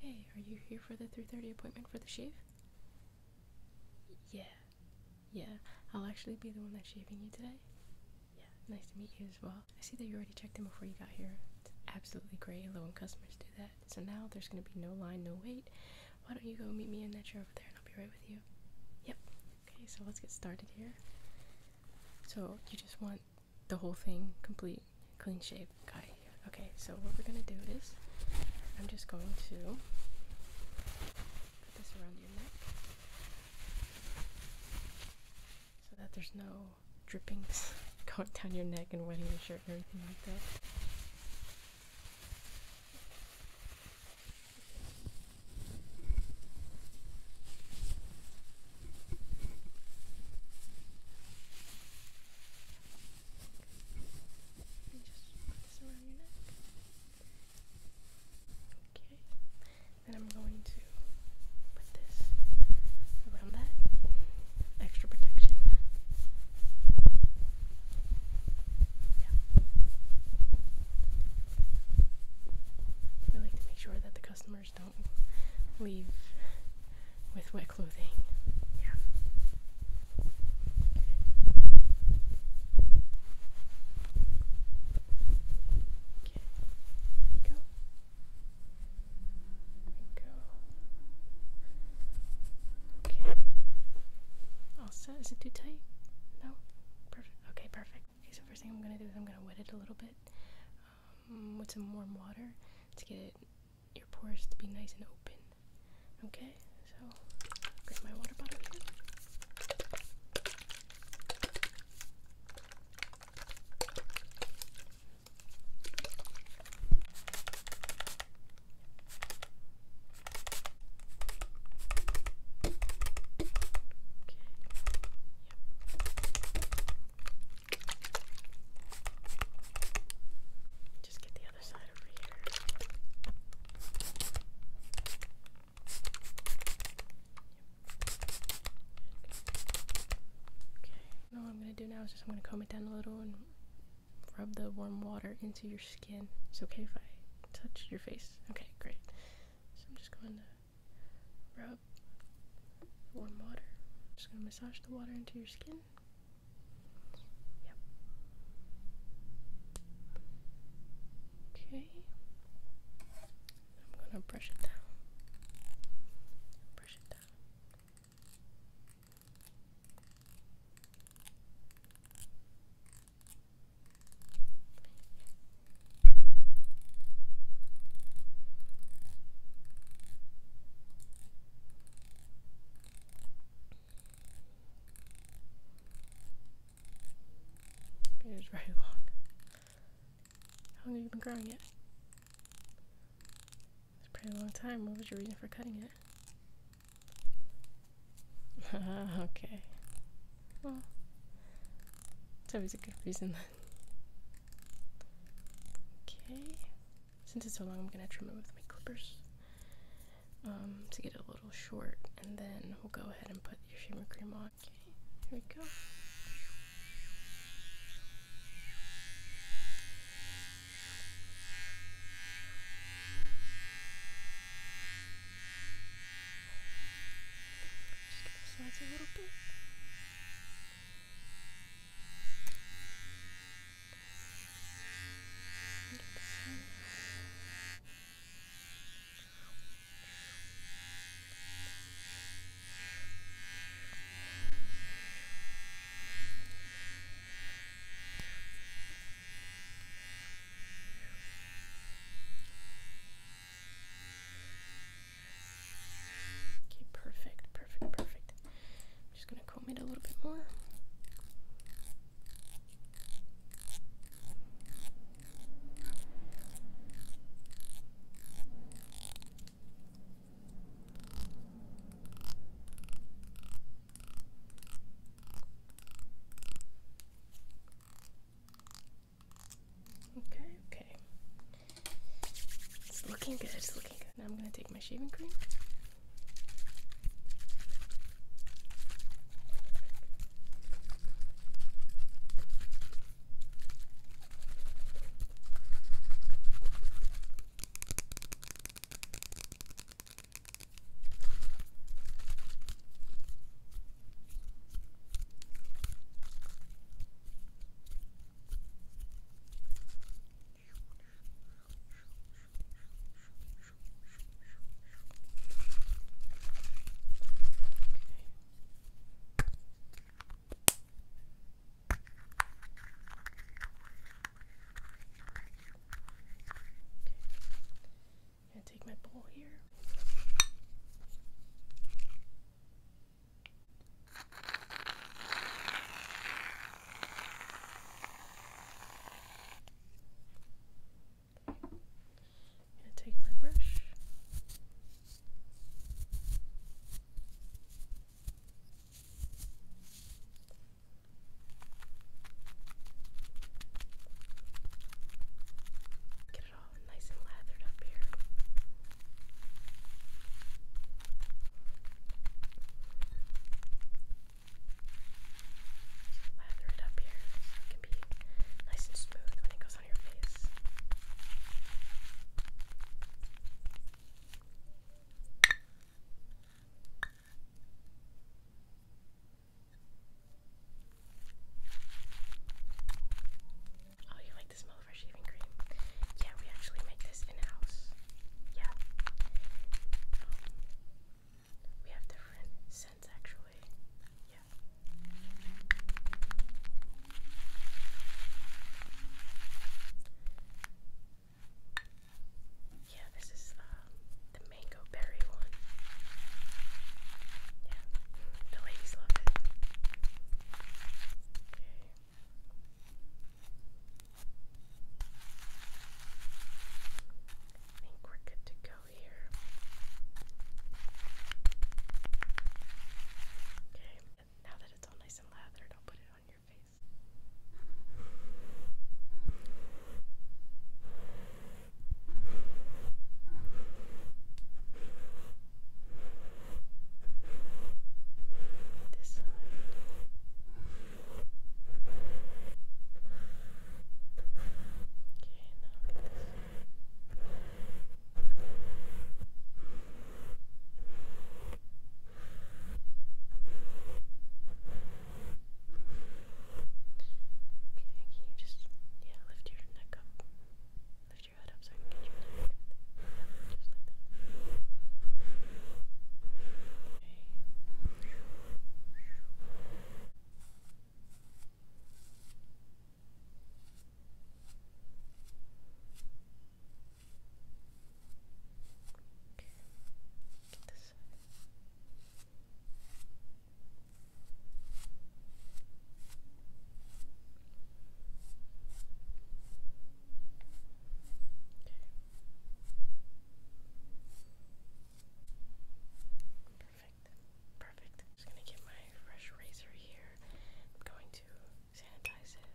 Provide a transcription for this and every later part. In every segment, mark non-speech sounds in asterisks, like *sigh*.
Hey, are you here for the 3:30 appointment for the shave? Yeah. Yeah. I'll actually be the one that's shaving you today. Yeah. Nice to meet you as well. I see that you already checked in before you got here. It's absolutely great. Low and customers do that. So now there's going to be no line, no wait. Why don't you go meet me in that chair over there and I'll be right with you? Yep. Okay, so let's get started here. So you just want the whole thing complete clean shave guy Okay, so what we're gonna do is I'm just going to put this around your neck so that there's no drippings *laughs* going down your neck and wetting your shirt and everything like that. And just around your Okay. Then I'm going to put this around that. Extra protection. Yeah. We to make sure that the customers don't leave with wet clothing. Yeah. Okay. Go. Go. Okay. All Is it too tight? No. Perfect. Okay. Perfect. So first thing I'm gonna do is I'm gonna wet it a little bit um, with some warm water to get it your pores to be nice and open. Okay, so grab my water bottle here. Okay just get the other side over here. Okay. Now I'm gonna do now is just I'm gonna comb it down a little and rub the warm water into your skin. It's okay if I touch your face. Okay, great. So I'm just going to rub warm water. just gonna massage the water into your skin one. Yep. Okay. I'm gonna brush it down. Brush it down. Okay. It is very long. How long have you been growing it? It's a pretty long time. What was your reason for cutting it? Ah, *laughs* okay. Well, it's always a good reason then. Okay. Since it's so long, I'm gonna trim it with my clippers um, to get it a little short, and then we'll go ahead and put your shimmer cream on. Okay, here we go. Just give the sides a little bit. Okay, perfect, perfect, perfect. I'm just gonna to comb a little bit more. Okay, okay. It's looking good, it's looking good. Now I'm going to take my shaving cream. I'm gonna take my bowl here. I'm going to take my brush. Get it all nice and lathered up here. Lather it up here so it can be nice and smooth when it goes on your face. Oh, you like the smell of our shaving cream? Yeah, we actually make this in house yeah. Um, we have different scents actually. Yeah. Yeah, this is um, the mango berry one. Yeah, the ladies love it. Okay. I think we're good to go here. Okay, now that it's all nice and lathered, I'll put it on your face. This side can you just yeah, lift your neck up? Lift your head up so I can get your neck. Yep, just Get this side. Okay. Perfect. Perfect. I'm just gonna get my fresh razor here. I'm going to sanitize it.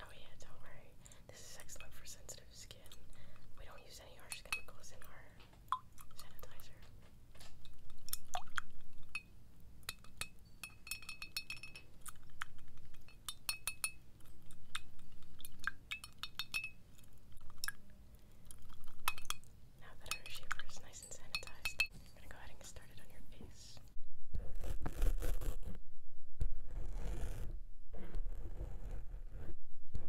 Oh yeah, don't worry. This is excellent for sensitive skin. We don't use any harsh chemicals in our sanitizer. Now that our shaver is nice and sanitized, I'm gonna go ahead and get started on your face.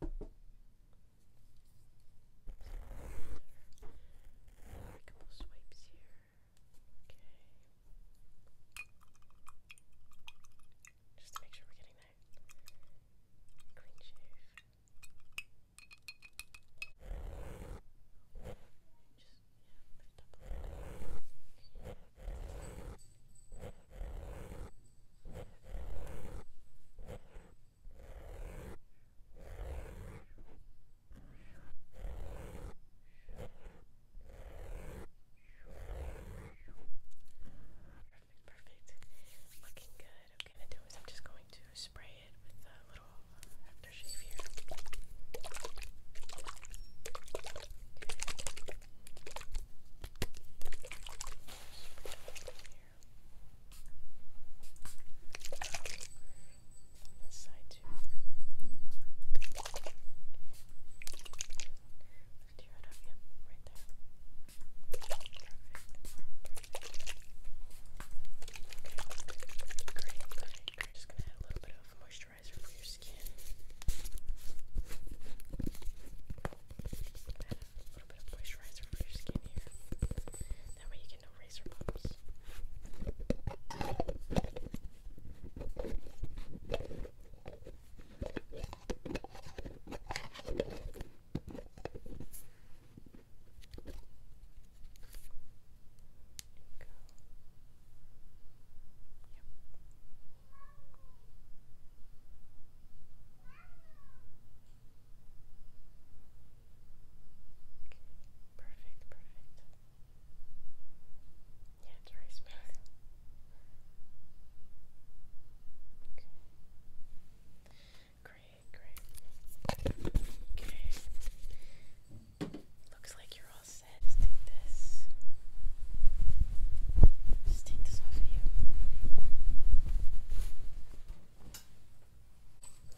A couple swipes here. Okay. Just to make sure we're getting that clean shave. Just, yeah, lift up perfect. Looking good. What I'm gonna do is I'm just going to spray it with a little aftershave here. Good. Spray it on this side too. Lift your up, yep, right there. Okay. Great, good. We're just gonna add a little bit of moisturizer for your skin a little bit of moisturizer on your skin here. That way you get no razor bumps. Perfect, perfect. Yeah, it's very smooth. Great, great. Looks like you're all set. take this. Just take this off of you.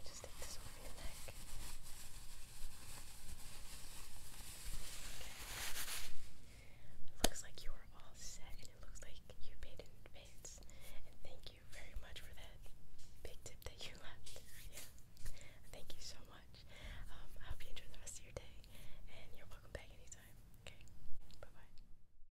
Just take this over your neck. Okay. Looks like you are all set, and it looks like you paid in advance. And thank you very much for that big tip that you *laughs* left. Yeah. Thank you so much. Um, I hope you enjoy the rest of your day, and you're welcome back anytime. Okay. Bye bye.